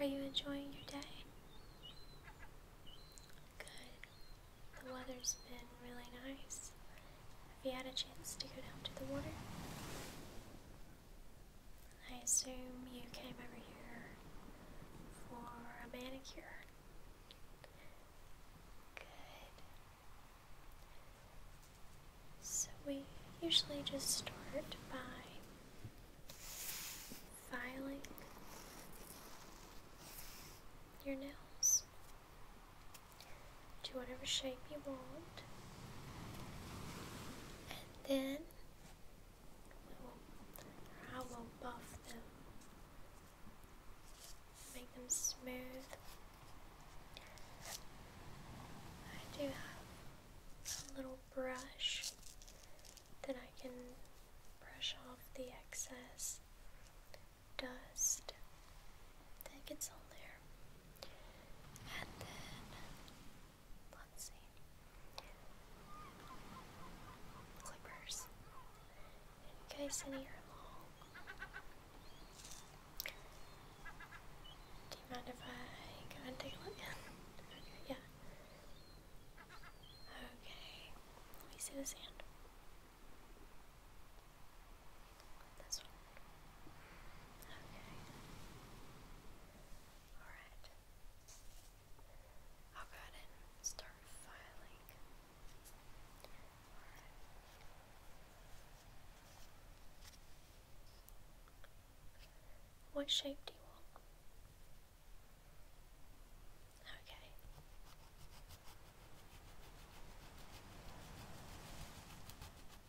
Are you enjoying your day? Good. The weather's been really nice. Have you had a chance to go down to the water? I assume you came over here for a manicure. Good. So we usually just start by filing your nails to whatever shape you want. Then I will buff them, make them smooth. I do have a little brush that I can brush off the excess dust that gets on there. And then Let's see. Clippers. Guys in here long. Do you mind if I go and take a look? yeah. Okay. Let me see the sand. This one. Okay. Alright. I'll go ahead and start filing. What shape do you want? Okay.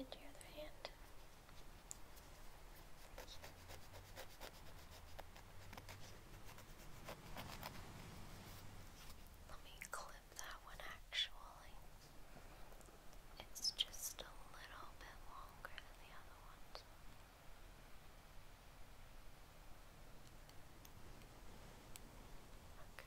And your other hand. Let me clean clip that one actually. It's just a little bit longer than the other ones. Okay.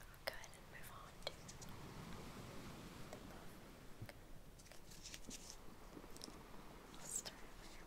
I'll go ahead and move on to the book. I'll start over.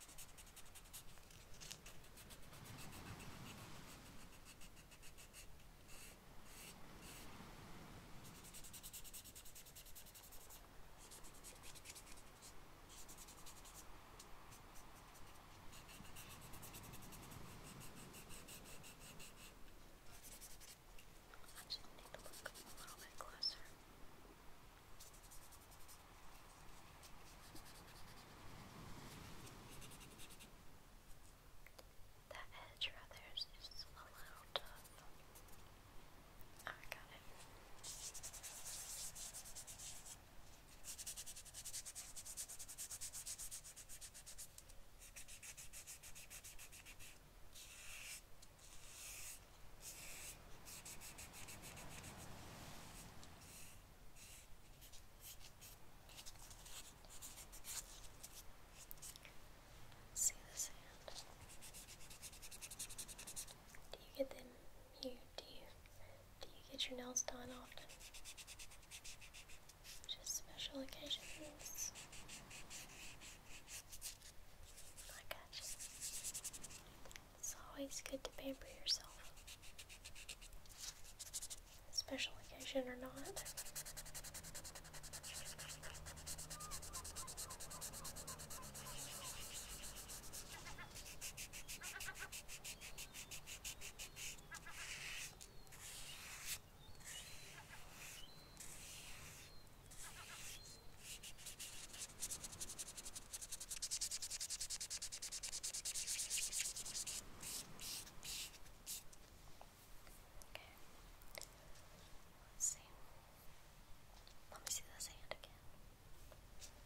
I just need to look a little bit closer. Okay. The edge rather is a little tough. Oh, I got it. Okay, do you get them here? Do you do you get your nails done often? Just special occasions. I got it's always good to pamper yourself, special occasion or not. Okay. Let's see. Let me see this hand again. Okay.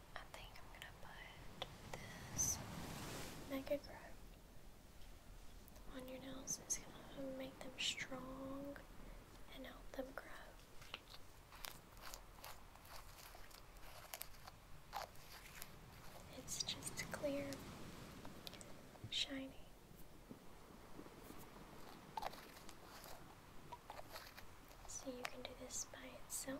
I think I'm gonna put this Mega Grow on your nails. It's gonna make them strong and help them grow. It's just clear, shiny. So you can do this by itself.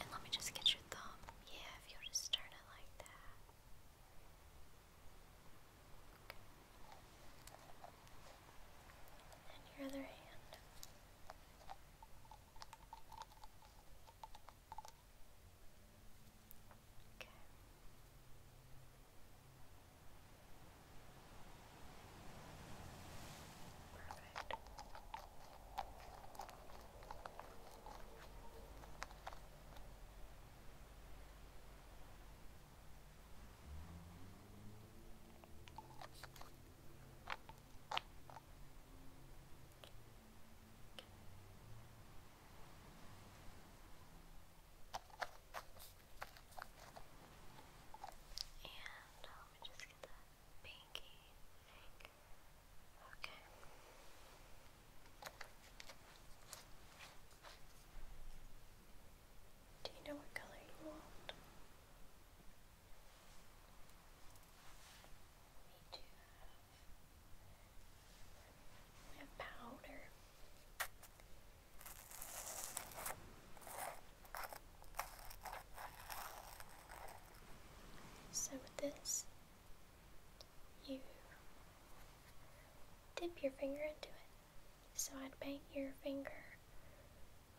And let me just get your thumb. Yeah, if you'll just turn it like that. And your other hand. Okay. Perfect. And let Do you know what color you want? we have powder. So with this, you dip your finger into it. So I'd paint your finger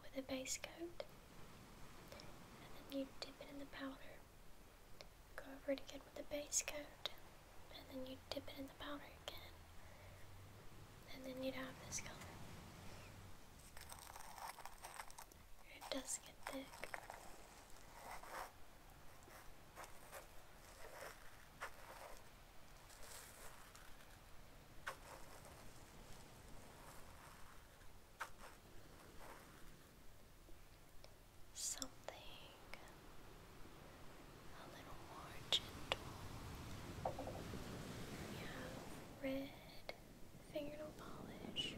with a base coat, and then you dip it in the powder. Go over it again with a base coat, and then you dip it in the powder again, and then you'd have this color. It does get thick. Something a little more gentle. Yeah red fingernail polish.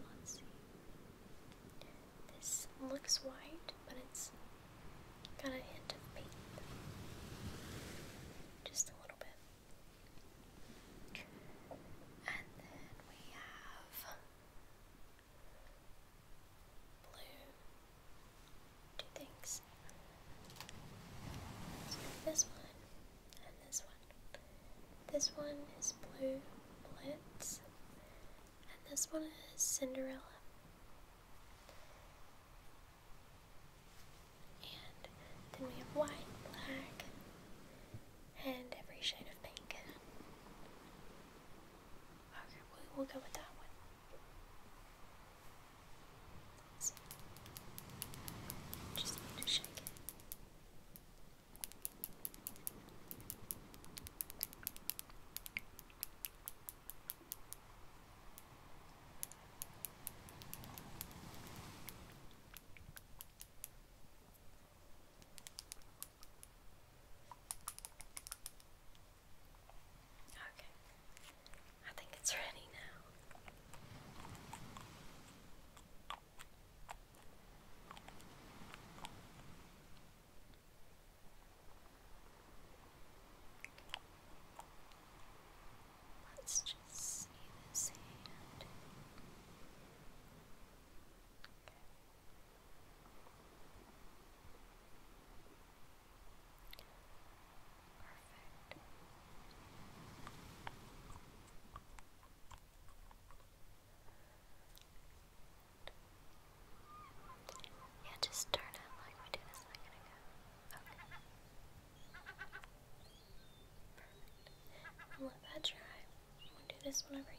Um, this looks white, but it's got a hint of pink. Just a little bit. And then we have blue two things. this one and this one. This one is Blue Blitz, and this one is Cinderella. And then we have white, black, and every shade of pink. Okay, we'll go with that one. So, just need to shake it. Okay, I think it's ready now. Let's just see this hand. Perfect. Yeah, just turn it like we did a second Okay. Perfect. let that dry. we do this one over here.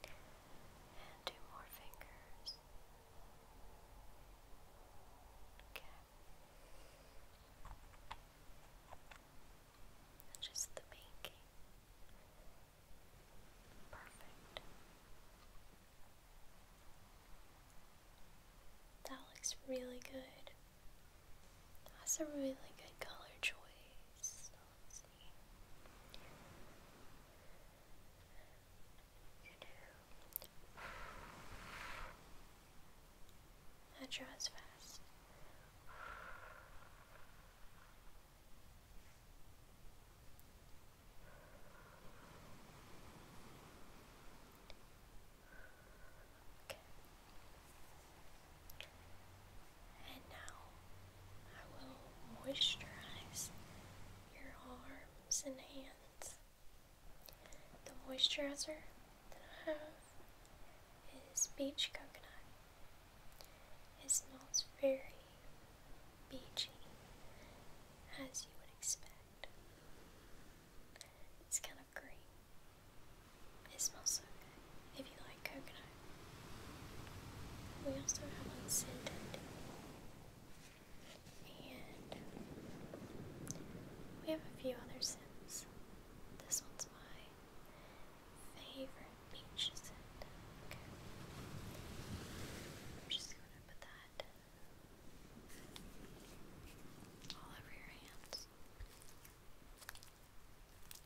And two more fingers. Okay. Just the making. Perfect. That looks really good. That's a really good color choice. That draws fast. Okay. And now I will moisturize your arms and hands. The moisturizer that I have is Beach Coconut. It smells very beachy, as you would expect. It's kind of green. It smells so good. If you like coconut. We also have unscented. And we have a few other scents. This one's my favorite peach scent. I'm just gonna put that all over your hands.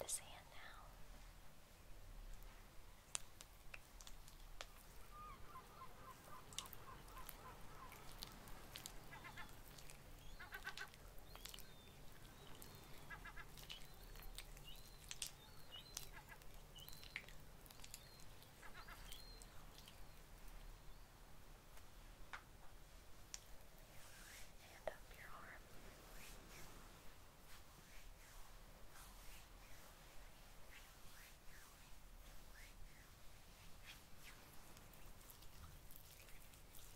The sand now. And up your arm. Good.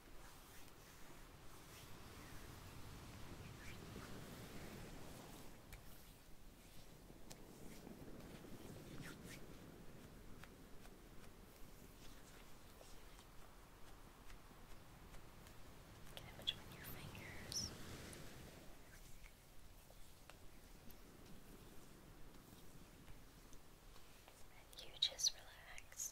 Get it between your fingers. you just relax.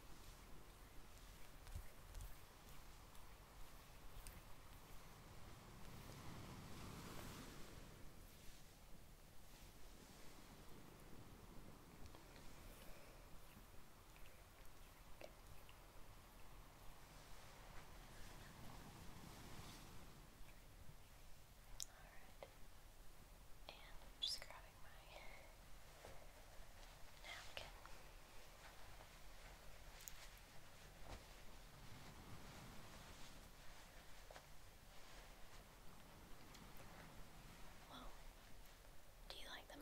All right. And I'm just grabbing my do you like them?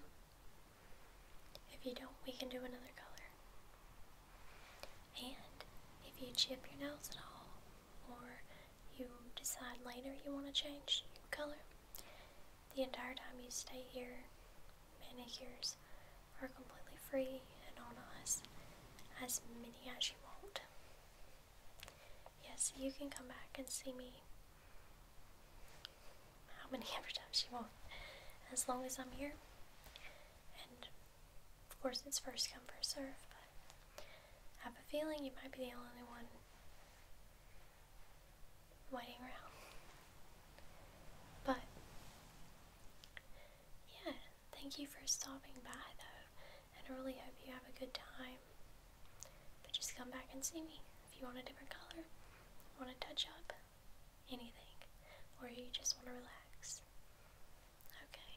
If you don't, we can do another color. And if you chip your nails at all, or you decide later you want to change your color, the entire time you stay here, manicures are completely free and on us, as many as you want. Yes, you can come back and see me how many ever times you want, as long as I'm here. And of course, it's first come, first serve, but I have a feeling you might be the only one waiting around. But yeah, thank you for stopping by though, and I really hope you have a good time. But just come back and see me if you want a different color, want to touch up, anything, or you just want to relax. Okay.